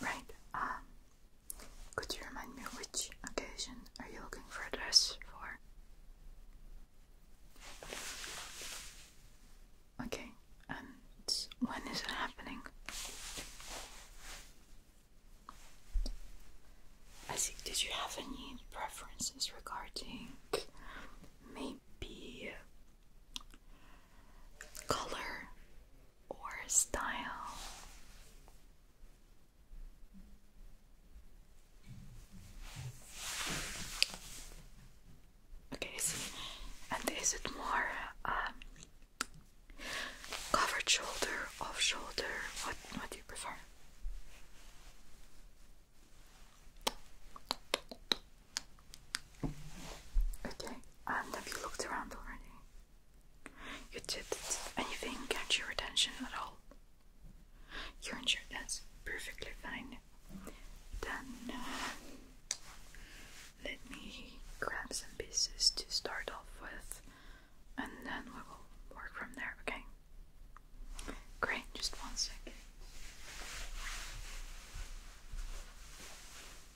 Right, um, could you remind me which occasion are you looking for a dress for? Okay, and when is it happening? I see, did you have any preferences regarding maybe color or style. Okay, see, and is it more um, covered shoulder, off shoulder? What what do you prefer? Okay, and have you looked around already? You did anything catch your attention at all? You're insured, that's perfectly fine. Then uh, let me grab some pieces to start off with, and then we will work from there, okay? Great, just one second.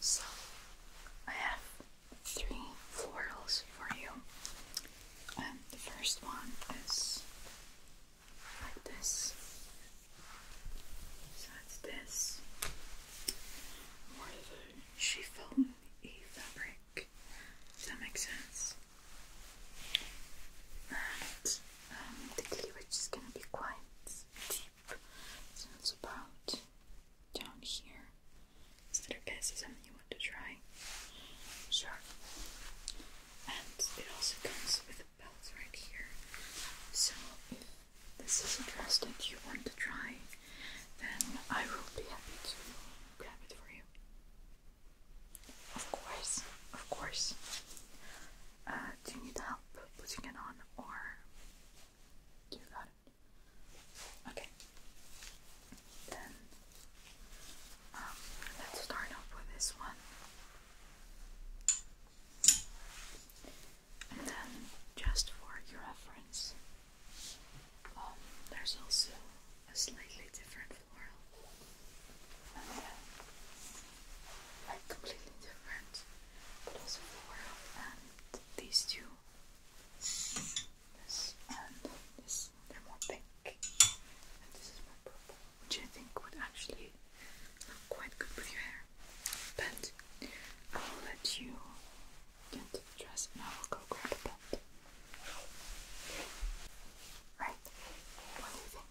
So, I have three florals for you. Um, the first one is like this. So it's this. More of a fabric. Does that make sense? And um, the cleavage is going to be quite deep. So it's about down here. Is that okay? Is something you want to try? Sure. And it also comes with a belt right here. So if this is a dress that you want to try, then I will be happy to grab it for you. Of course, of course. Uh, do you need help putting it on, or you got it? Okay. Then um, let's start off with this one, and then just for your reference, um, there's also a slightly different floral and then completely different, but also four and these two, this and this, they're more pink, and this is more purple, which I think would actually look quite good with your hair. But I will let you get into the dress, and I will go grab a belt. Right? What do you think?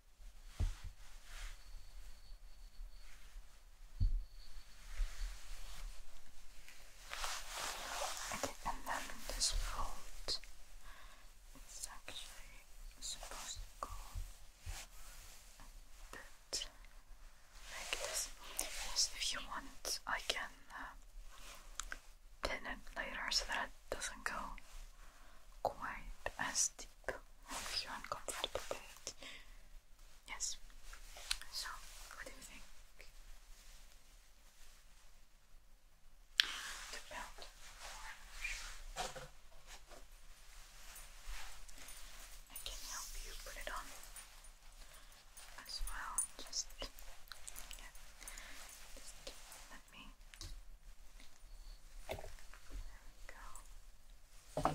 Okay, and then this fold is actually supposed to go like this. Yes, if you want, I can uh, pin it later so that it doesn't go quite as deep your uncomfortable bed. Yes. So, what do you think? The belt I can help you put it on as well. Just, let me. There we go. Okay,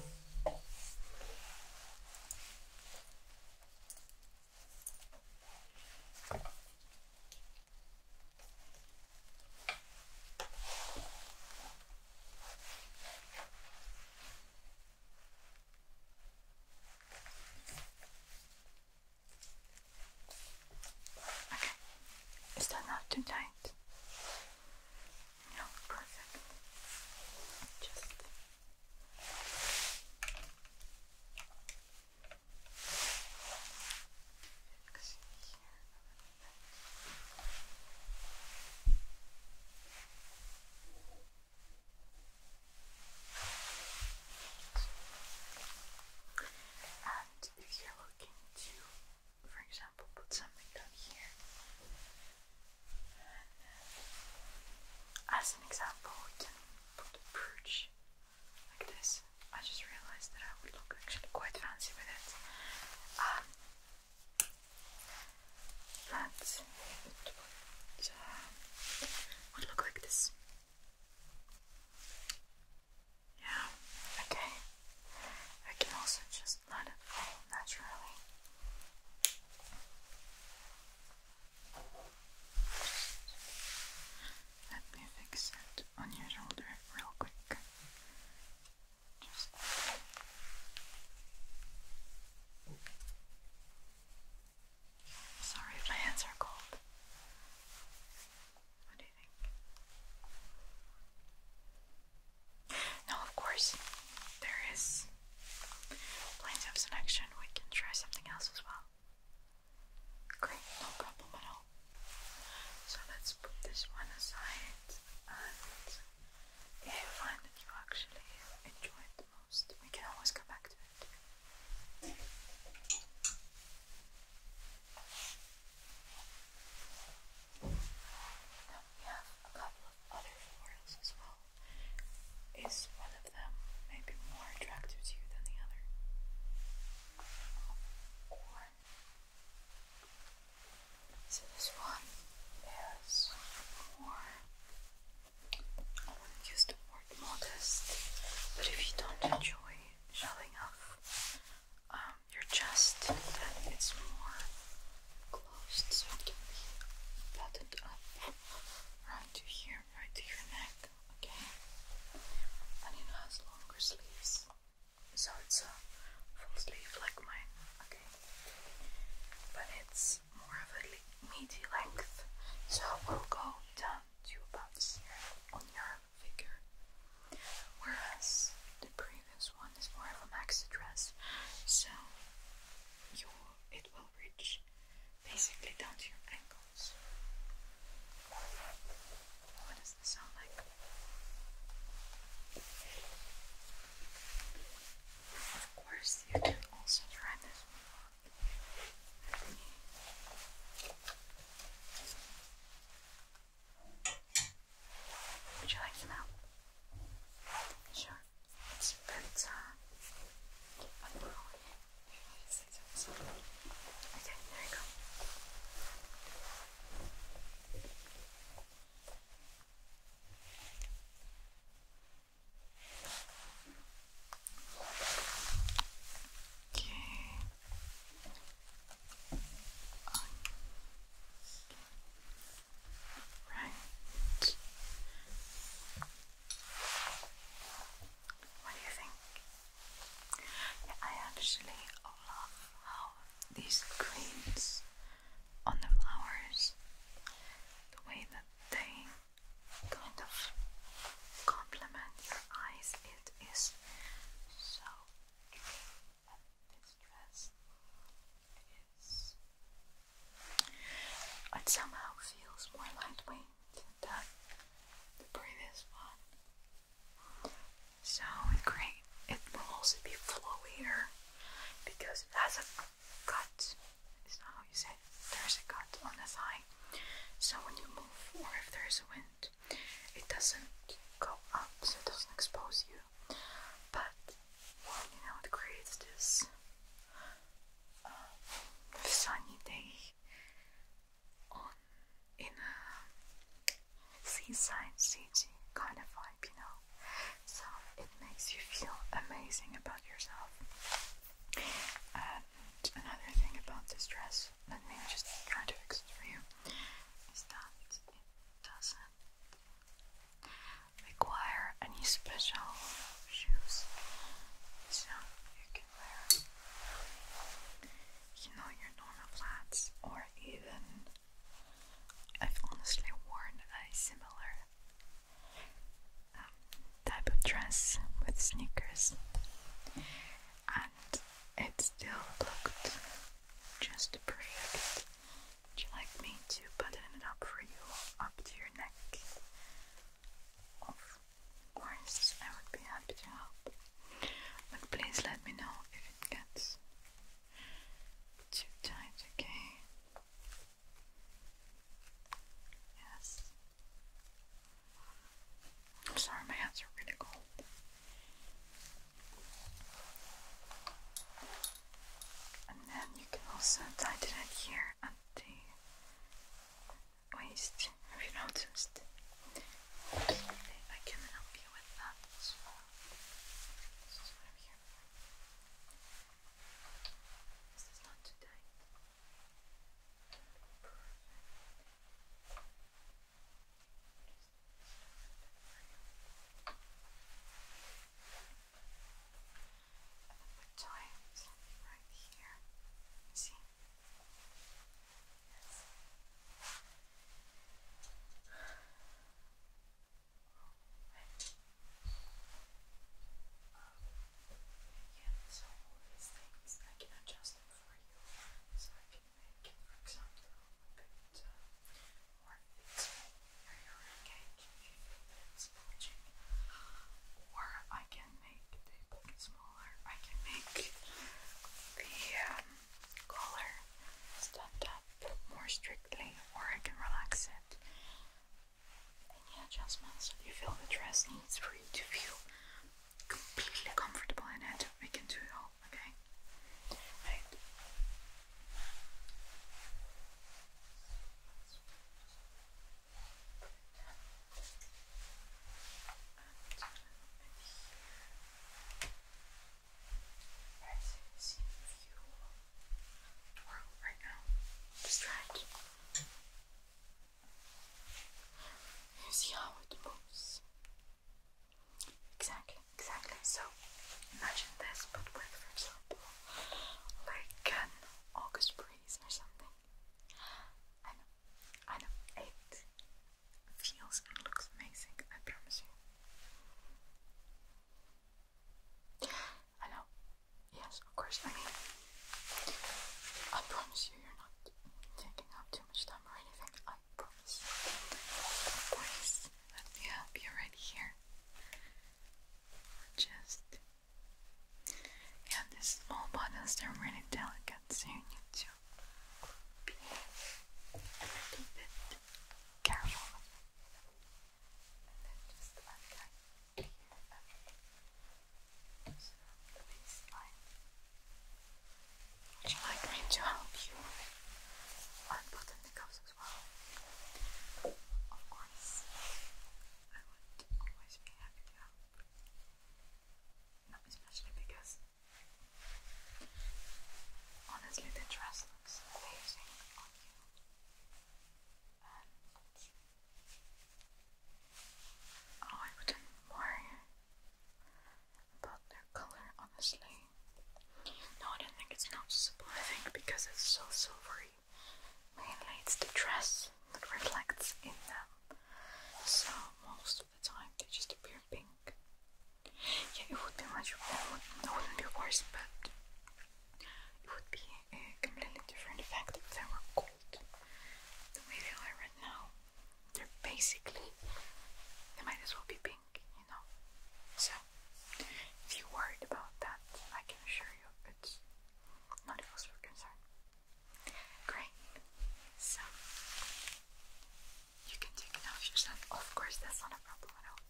it's not too tight. No, perfect. Just and if you're looking to for example, put something down here. as an example, we can put a brooch like this. I just realized that I would look actually quite fancy with it. Um, that um, would look like this. Yeah, okay. I can also just let it fall naturally. let me fix it on your shoulder real quick. Sorry my hands are cold. What do you think? Now, of course, there is plenty of selection. We can try something else as well. Great, no problem at all. So let's put this one aside, and if you find that you actually enjoy it the most, we can always come back to it we have a couple of other florals as well. Is one of them maybe more attractive to you than the other? Or so this one is more I wouldn't use the word modest, but if you don't enjoy showing off um your chest that it's more closed so it can be buttoned up right to here, right to your neck, okay? And it has longer sleeves, so it's a full sleeve like mine, okay? But it's more of a meaty length, so we'll go down to about here on your figure. Whereas the previous one is more of a max address, so you it will reach basically down to your ankles. What does this sound like? Of course, you can also try this one would you like some help? Sure. It's but uh, Okay, there you go. Okay. Right. What do you think? I actually love how these greens on the flowers, the way that they kind of complement your eyes, it is so this dress is it somehow feels more lightweight than the previous one. So it's great it will also be flowier because it has a cut. Is not how you say There's a cut on the thigh. So when you move or if there's a wind, it doesn't go up, so it doesn't expose you but you know it creates um, this sunny day on in a seaside city kind of vibe, you know. So it makes you feel amazing about yourself. And another thing about this dress, let me just try to fix for you, is that it doesn't require any special shoes, so you can wear, you know, your normal flats, or even I've honestly worn a similar um, type of dress with sneakers, and it still looked just perfect would you like me to button it up for you up to your neck? Of course, I would be happy to help. But please let me know if it gets too tight, okay? Yes. I'm sorry, my hands are really cold. And then you can also tighten it here at the waist. Have you noticed? Okay, I can help you with that as well. And the time is right here. You see? Yes. Right. Um, so all these things I can adjust them for you. So I can make, for example, a bit uh, or I can make the book smaller. I can make the collar stand up more strictly or I can relax it. Any adjustments that you feel the dress needs for you to feel completely comfortable in it, we can do it all well, okay? Right. Right, so you see if you twirl right now. Just You see how it moves. Exactly, exactly. So imagine this, but with, for example, like an August breeze or something. I know, I know. It feels and looks amazing, I promise you. I know. Yes, of course. I mean, I promise you, you're not taking up too much time or anything. I promise. I promise let me help you right here. Just yeah, these small buttons are really delicate, so you need to be a little bit careful. just untie so Would you like me to help you unbutton the cuffs? Of course, I would always be happy to help. Not especially because honestly the dress looks amazing on you. oh I wouldn't worry about their colour honestly. No, I don't think it's noticeable. I think because it's so silvery, mainly it's the dress that reflects in them. So most of the time they just appear pink. Yeah, it would be much more. wouldn't be worse, but it would be a completely different effect if they were gold. The way they are right now, they're basically they might as well be pink you know. So, if you're worried about that, I can assure you it's not a cause for concern. Great. So, you can take it off your son. Of course, that's not a problem at all.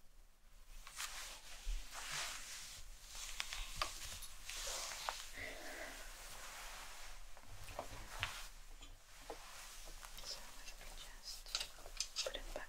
So, let me just put it back.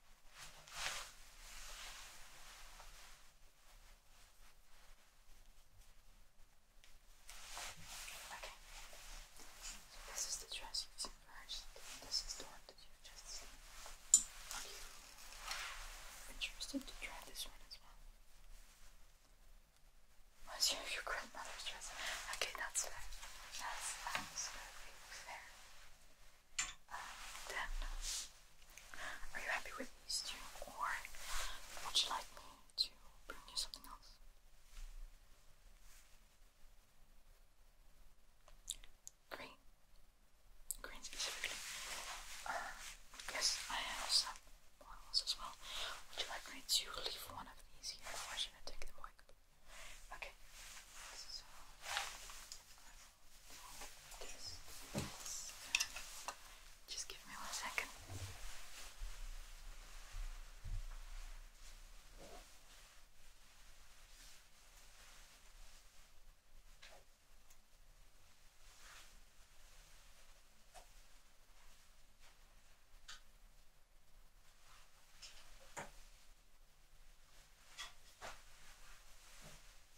Okay. So this is the dress you've seen first, and this is the one that you've just seen. Are you interested to try this one as well? Was your, your grandmother's dress? Okay, that's fair. That's absolutely fair. And then, are you happy with these two, or would you like me to bring you something else? Green, green specifically. Uh, yes, I have some bottles as well. Would you like me to leave one of these here, or should I take them away? Okay. This, this. Just give me one second. Okay.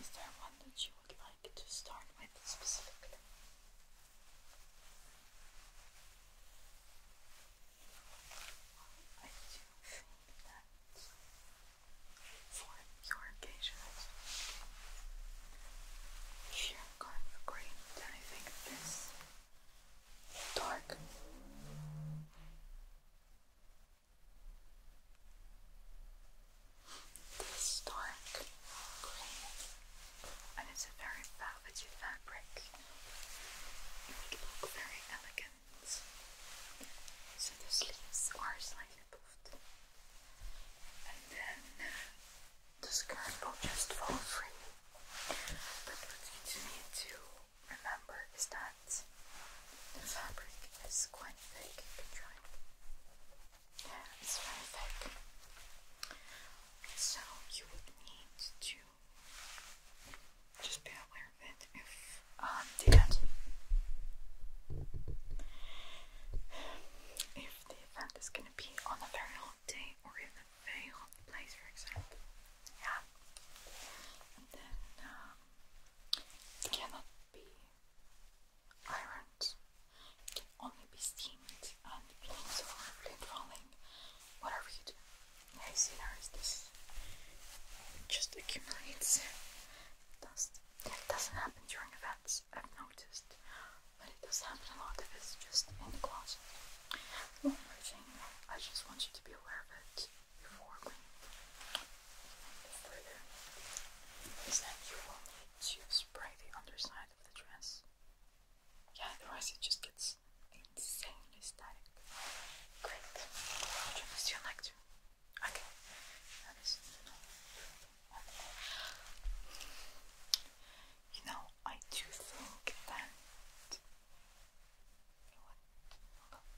Is there one that you would like to start with specifically? I do think that for your occasions, you're going for green, I think this dark this dark grey, and it's a very velvety fabric. It would look very elegant. So the sleeves are slightly puffed, and then the skirt will just fall free. But what you need to remember is that the fabric is quite thick. You can Yeah, it's very thick. So you would need to just be aware of it if um, the if the event is gonna be on a very hot day or in a very hot place, for example. Yeah. then um, cannot be irons can only be steamed and planes falling, whatever you do. I've seen this just accumulates dust. It doesn't happen during events, I've noticed, but it does happen a lot if just in the closet. One more thing, I just want you to be aware of it before when further is that you will need to spray the underside of the dress. Yeah, otherwise it just gets insanely static. Great. Would you like to? Okay. You know, I do think that.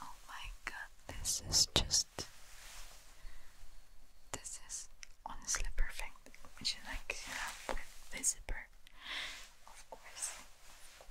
Oh my god, this is just. This is honestly perfect. Would you like to have with zipper? Of course, of course.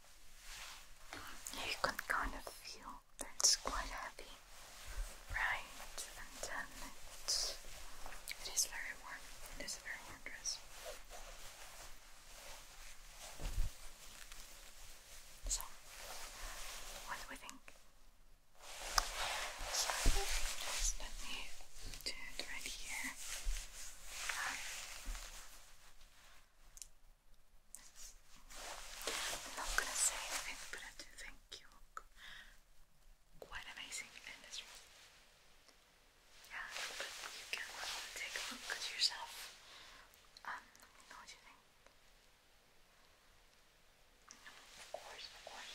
You can kind of feel that it's quite heavy, right? And then it's, it is very warm. It is a very warm dress. So, what do we think? just let me do it right here. I'm not gonna say anything, but I do think you look quite amazing Yeah, but you can take a look at yourself let me know what you think. of course, of course.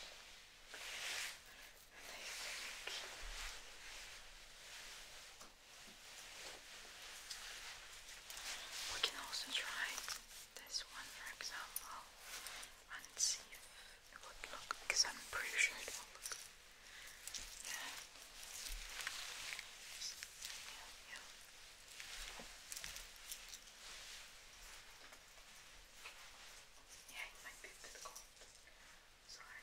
Thank you. We can also try this one for example and it would look because I'm pretty sure it will look. Yeah. Yeah, yeah. Yeah, it might be a bit cold. Sorry.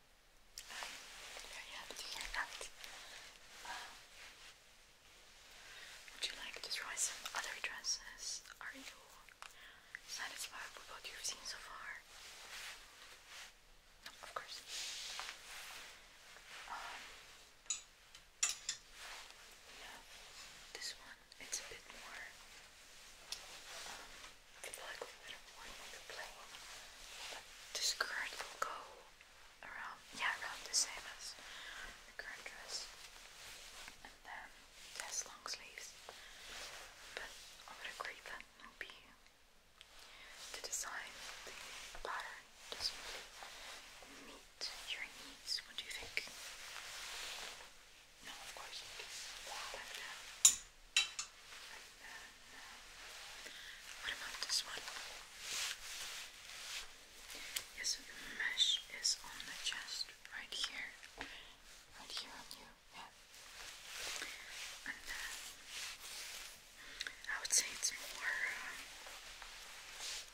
i would you like to try some other dresses? Are you satisfied with what you've seen so far? of course. Um, yeah, this one, it's a bit more, um, like a bit more plain, but the skirt will go around, yeah, around the same as the current dress. And then has long sleeves, but I would agree that will be the design, the pattern does meet your needs. What do you think? No, of course what about this one? Yes, the mesh is on the chest right here. Right here on you. Yeah. And uh, I would say it's more uh,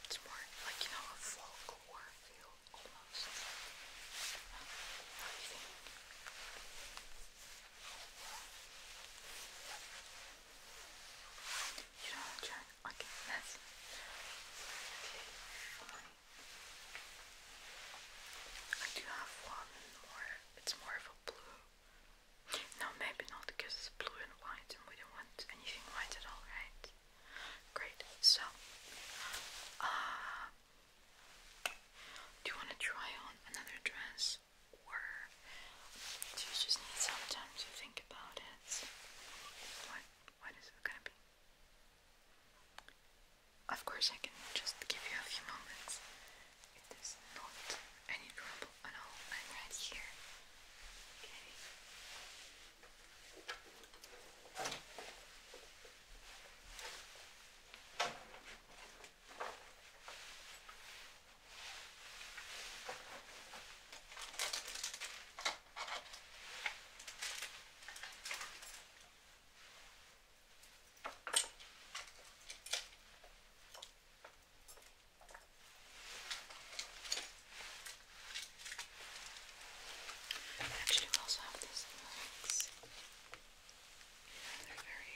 it's more like you know a folklore feel almost. What do you think? You don't want to try? Okay, that's fine. I do have one more. It's more of a blue. No, maybe not because it's blue and white and we don't want anything white at all, right? Great. So, uh, do you want to try on another dress? were. you just need some time to think about it. What what is it gonna be? Of course I can just give you a few moments. It is not any trouble at all. I'm right here. Okay. Actually, we also have these legs. Yeah, they're very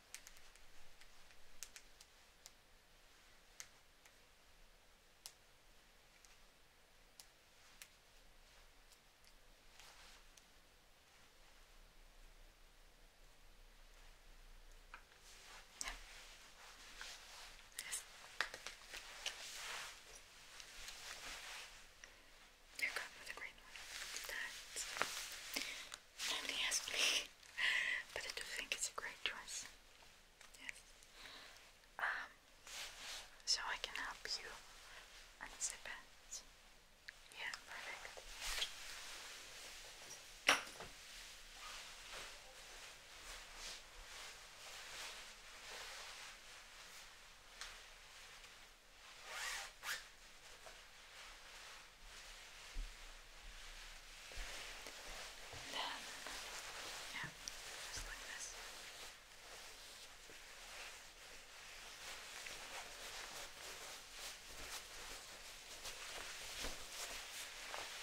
Yeah. Yes. You're good with a green one. That's Nobody asked me, but I do think it's a great choice. Yes. Um, so I can help you unzip it. Yeah, perfect. And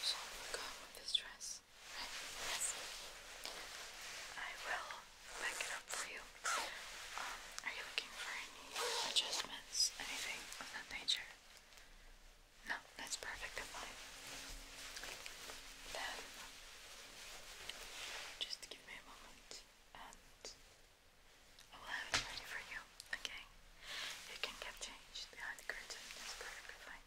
So we'll go with this dress, Yes. I will back it up for you. Um, are you looking for any adjustments, anything of that nature? No, that's perfect. fine. Then, just give me a moment and I will have ready for you, okay? You can get changed behind the curtain. That's perfectly fine.